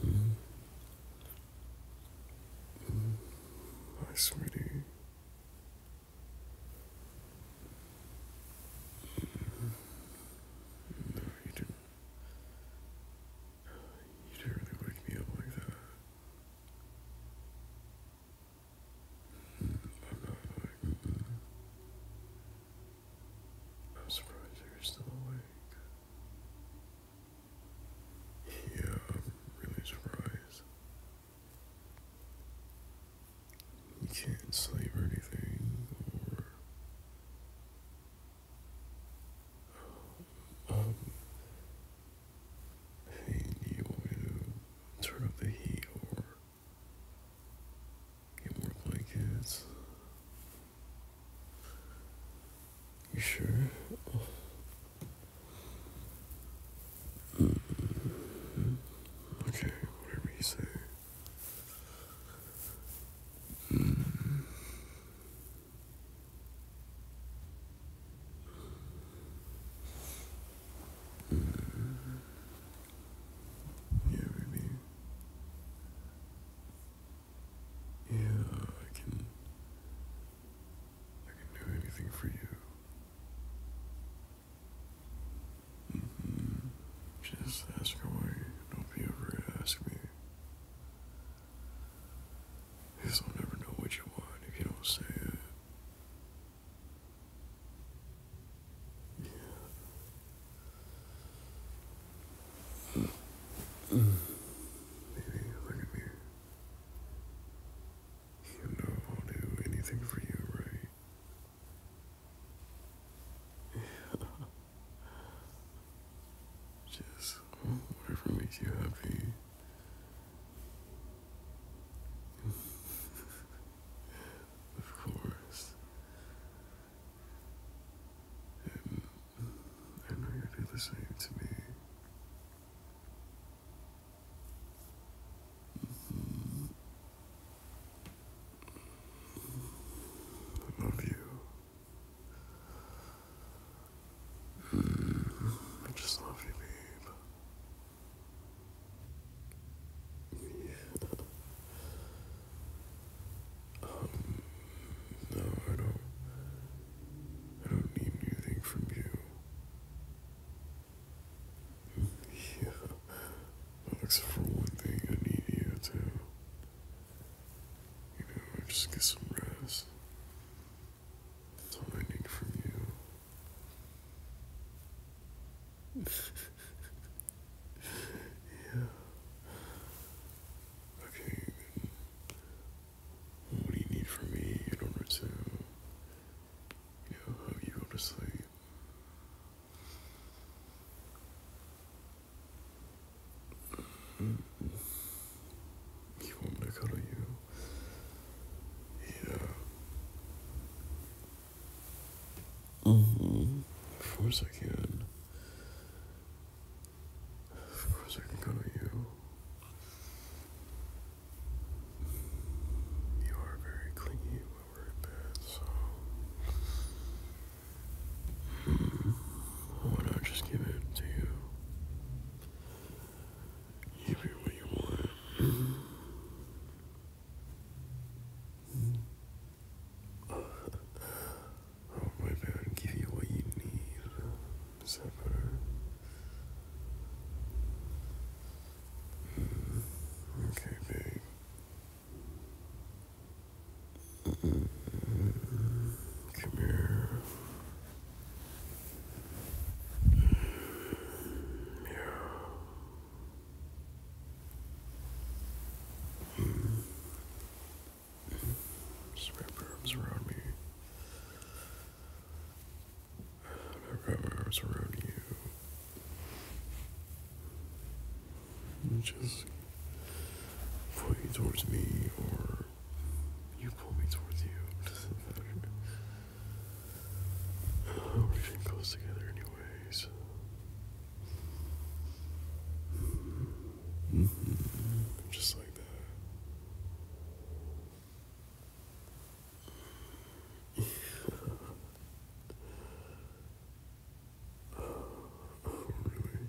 Mm-hmm. Hi, sweetie. Mm-hmm. No, you didn't. You didn't wake me up like that. Mm, I'm surprised you're still awake. Yeah, really surprised. You can't sleep or anything, or. Um. um turn up the heat or Get more blankets. You sure? Mm-hmm. Okay, whatever you say. Mm-hmm. Mm. Yeah, baby. Yeah, I can. I can do anything for you. -hmm. Just ask away. Don't be afraid to ask me. Because I'll never know what you want if you don't say it. Maybe look at me. You know I'll do anything for you, right? Yeah. Just whatever makes you happy. of course. I know you do the same to me. I mm-hmm. love you. Mm-hmm. I just love you, babe. Yeah. Um, no, I don't. I don't need anything from you. Yeah. for one thing, I need you to. You know, just get some rest. That's what I need from you. yeah. Okay. What do you need from me in order to, you know, have you go to sleep? Mm-hmm. You want me to cuddle you? Yeah. Mm-hmm. Of course I can. Of course I can go to you. You are very clingy when we're in so. Hmm. Why not just give it to you? give you what you want. Mm -hmm. i give you what you need. Okay, babe. Come here. Mm. arms around me. my arms around you. you just pull you towards me, or you pull me towards you. Oh, Everything goes together, anyways. Mm-hmm. Mm-hmm. Just like that. oh, really?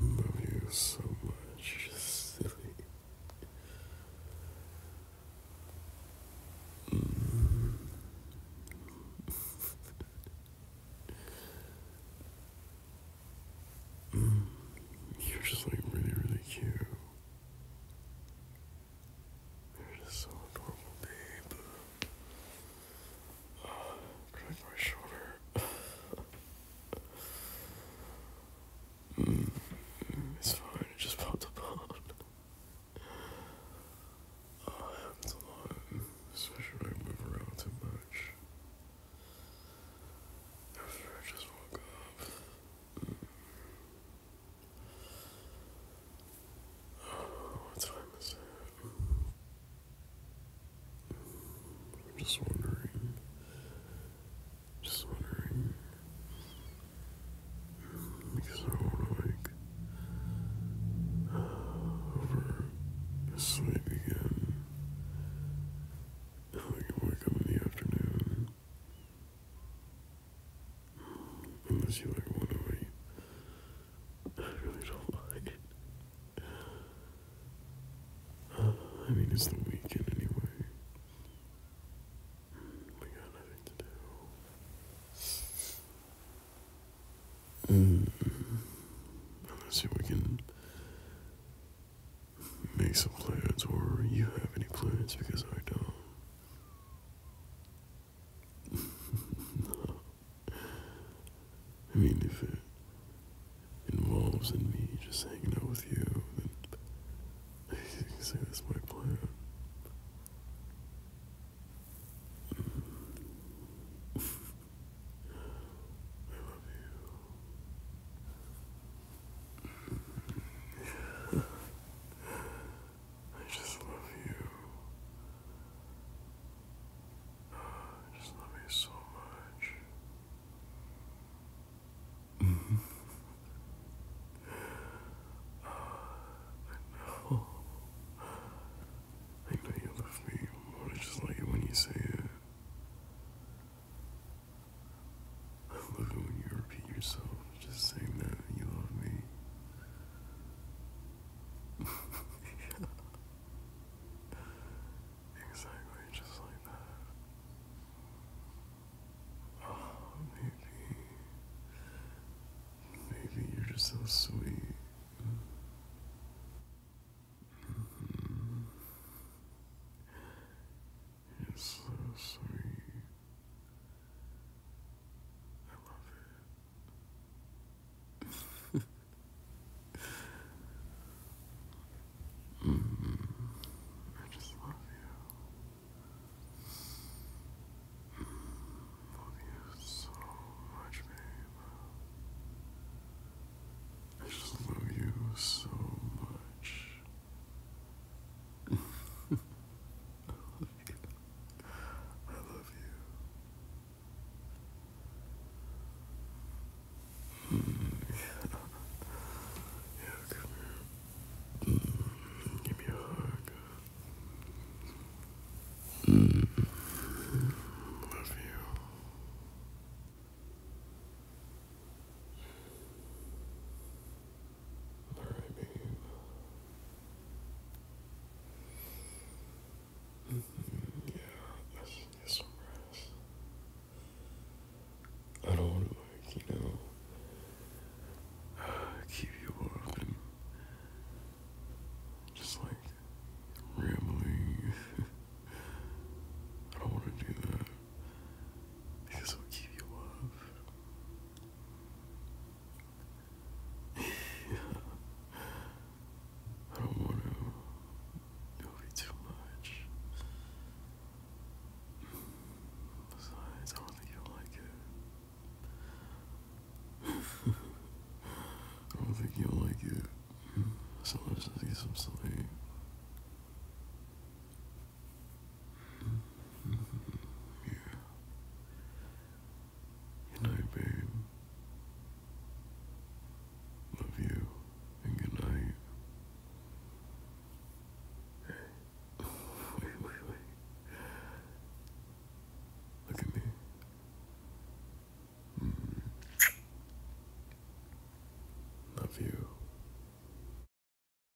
Love you so much, silly. Mm. You're just like really, really cute. You're just so adorable, babe. Try for shoulder. Mm. it's fine, it just popped apart. Oh, it a lot, especially when I move around too much. After I just woke up. Uh, oh, what time is it? I'm just wondering. Just wondering. Because I want to, like, sleep again. I wake up in the afternoon. Unless you like one over you. I really don't like it. I mean, it's the weekend anyway. We got nothing to do. Mm. Unless you we can make some plans, or you have any plans, because I don't. I mean, if it involves in me just hanging out with you, then I can say that's my plan. I love you. I just love you. I just love you so much. I know. I know you love me more. I just like it when you say it. I love it when you repeat yourself. Just saying that you love me. Exactly, just like that. Oh, maybe. Maybe you're just so sweet. Mm-hmm. You're so sweet. I love it. I just love you. love you so much, babe. I just love you so much. I love you. yeah. yeah, give me a hug. Mm. Love you. Or I mm, yeah, I should I don't want to, you know, keep you up and just like rambling. I don't want to do that. Because I'll give you love. I don't want to do it too much. Besides, I don't think you'll like it. I don't think you'll like it. So let's just get some sleep. Yeah. Good night, babe. Love you, good night. Hey. wait, wait, wait. Look at me. Hmm. Love you.